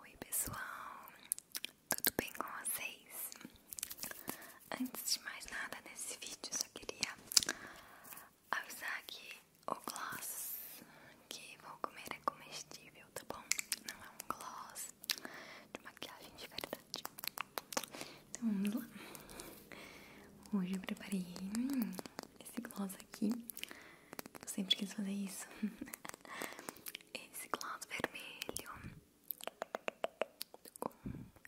Oi pessoal, tudo bem com vocês? Antes de mais nada nesse vídeo eu só queria avisar aqui o gloss que vou comer é comestível, tá bom? Não é um gloss de maquiagem de verdade. Então vamos lá. Hoje eu preparei hum, esse gloss aqui eu sempre quis fazer isso. Esse gloss vermelho com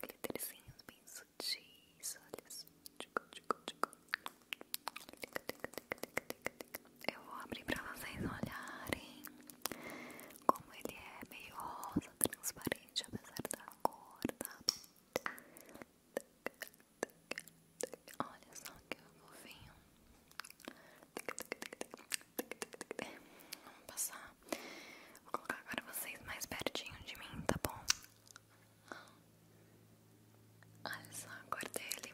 glitterzinhos bem sutis, olha só. Eu vou abrir pra vocês olharem como ele é meio rosa, transparente, apesar da cor, tá? Olha só que fofinho. Vamos passar. Vou colocar agora vocês mais pertinho de mim, tá bom? Olha só a cor dele.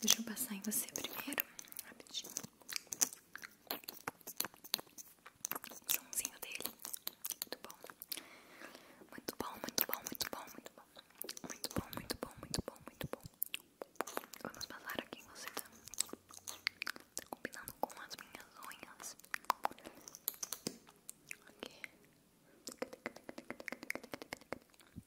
Deixa eu passar em você primeiro, rapidinho. O somzinho dele. Muito bom. Muito bom, muito bom, muito bom, muito bom. Muito bom, muito bom, muito bom, Vamos passar aqui em você, tá? combinando com as minhas unhas. Aqui.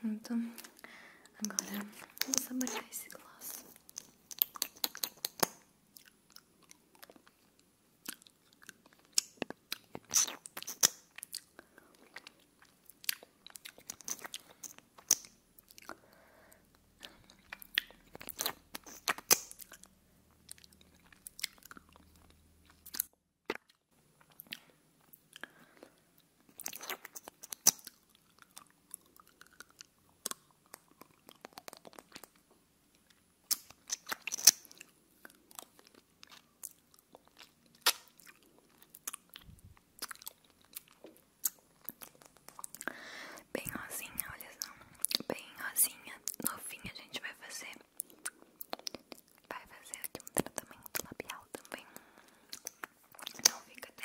Pronto, agora vou saborear esse gloss. Bem rosinha, olha só. Bem rosinha. No fim a gente vai fazer. Vai fazer aqui um tratamento labial também. Não fica até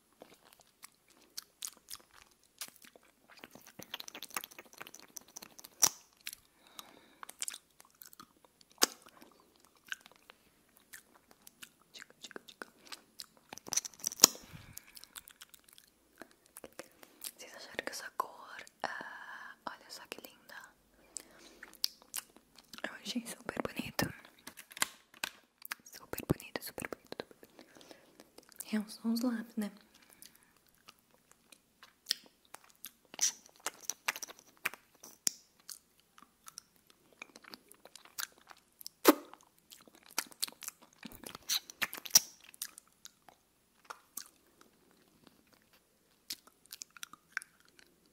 Vocês acharam que essa cor, ah, olha só que linda, eu achei super bonito. Super bonito, super bonito. É, são os lábios, né?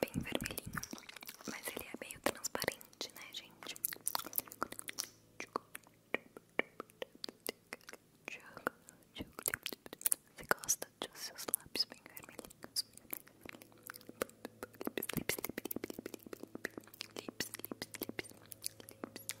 Bem vermelhinho, mas ele é meio transparente, né, gente? Você gosta dos seus lábios bem vermelhinhos? Lips, lips, lips, lips, lips, lips, lips, lips.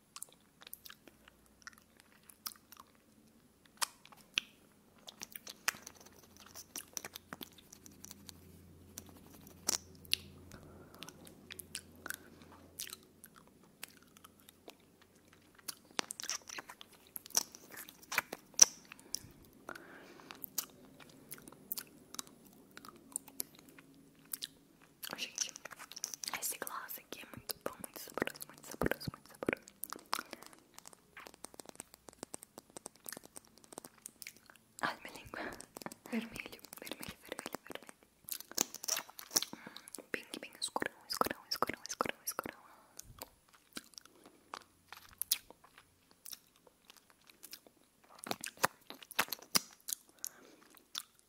Gente, esse gloss aqui é muito bom, muito saboroso, muito saboroso, muito saboroso. Ai, minha língua. Vermelho, vermelho, vermelho, vermelho. Hum, bem, bem escurão, escurão, escurão, escurão, escurão.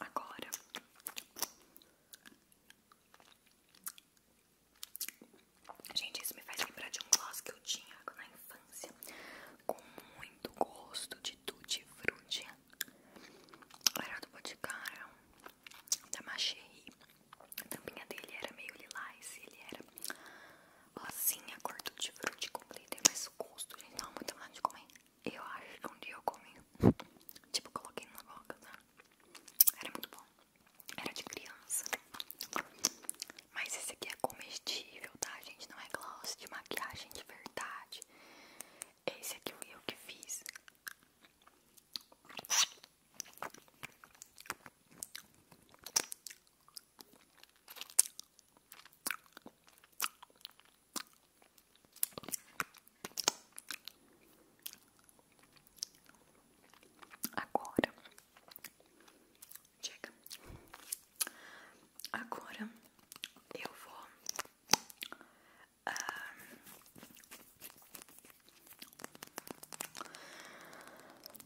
Agora Gente, isso me faz lembrar de um gloss que eu tinha infância com muito gosto de tutti frutti. Era do Boticário, da Macherry. A tampinha dele era meio lilás, e ele era assim, a cor tutti frutti completa. Mas mais gosto, gente, tava muito vontade de comer. Eu acho que um dia eu comi. Tipo, coloquei na boca, tá? Era muito bom. Era de criança. Mas esse aqui é comestível, tá? gente não é gloss de maquiagem de verdade. Esse aqui eu, o que fiz. Agora Chega. Agora eu vou ah,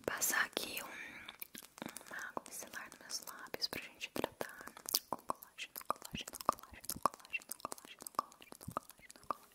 passar aqui um, uma micelar nos meus lábios pra gente tratar com colágeno, colágeno, colágeno, colágeno, colágeno, colágeno, colágeno, colágeno.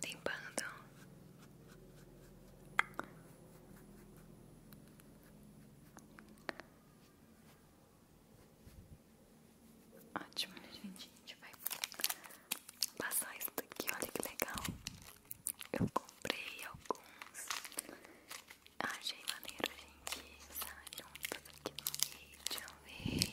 Tem Limpando Ótimo, né, gente, a gente vai passar isso daqui, olha que legal Eu comprei alguns Achei maneiro gente estar juntos aqui no vídeo, vídeo.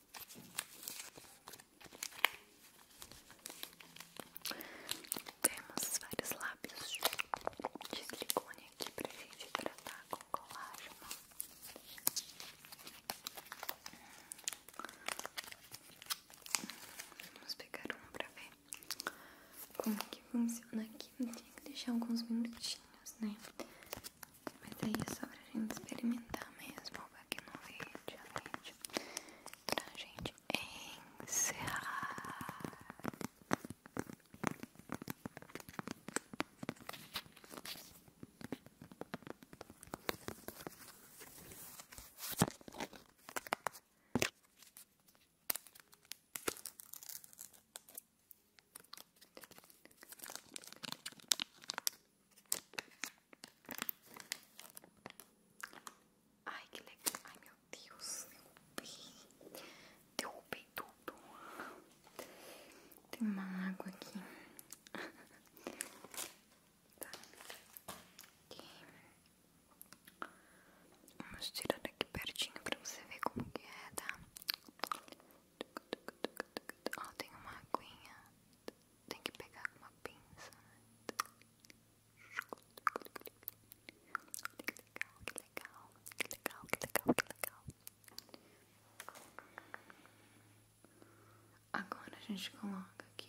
Temos vários lábios de silicone aqui pra gente tratar com colágeno. Vamos pegar um pra ver como que funciona aqui. Tem que deixar alguns minutinhos, né? Mas aí é só pra gente experimentar mesmo, aqui no vídeo, vídeo pra gente encerrar. Ai, que legal. Ai, meu Deus. Derrubei. Derrubei tudo. Tem uma água aqui. Tá. Aqui. Vamos tirar daqui pertinho pra você ver como que é, tá? Ó, tem uma aguinha tem que pegar com uma pinça, né? Que legal, que legal, que legal, que legal, que legal. Agora a gente coloca aqui.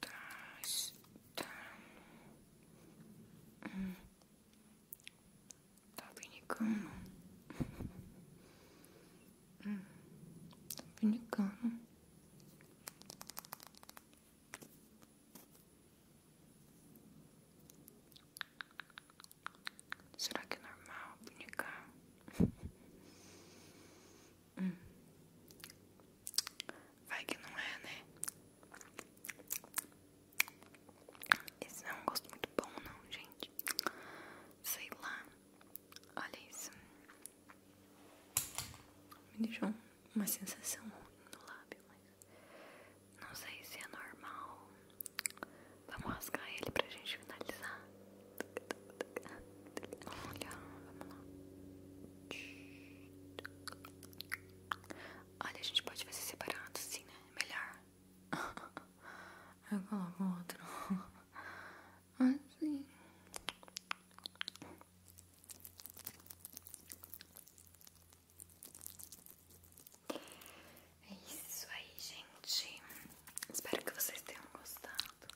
Dois, um, tá brincando, hum, tá brincando. Será que é normal punicar? hum. Vai que não é, né? Esse não é um gosto muito bom, não, gente. Sei lá. Olha isso. Me deixou uma sensação ruim no lábio, mas. Não sei se é normal. Vamos rasgar ele pra gente finalizar. Olha, vamos lá. Olha, a gente pode fazer separado assim, né? Melhor. Eu coloco outro. Assim. É isso aí, gente. Espero que vocês tenham gostado.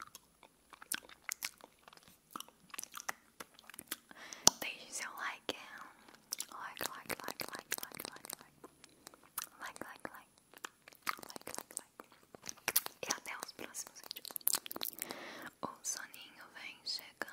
Deixe seu like. É like, like, like, like, like, like, like, like, like, like. Like, like, like. E até os próximos vídeos. O soninho vem chegando.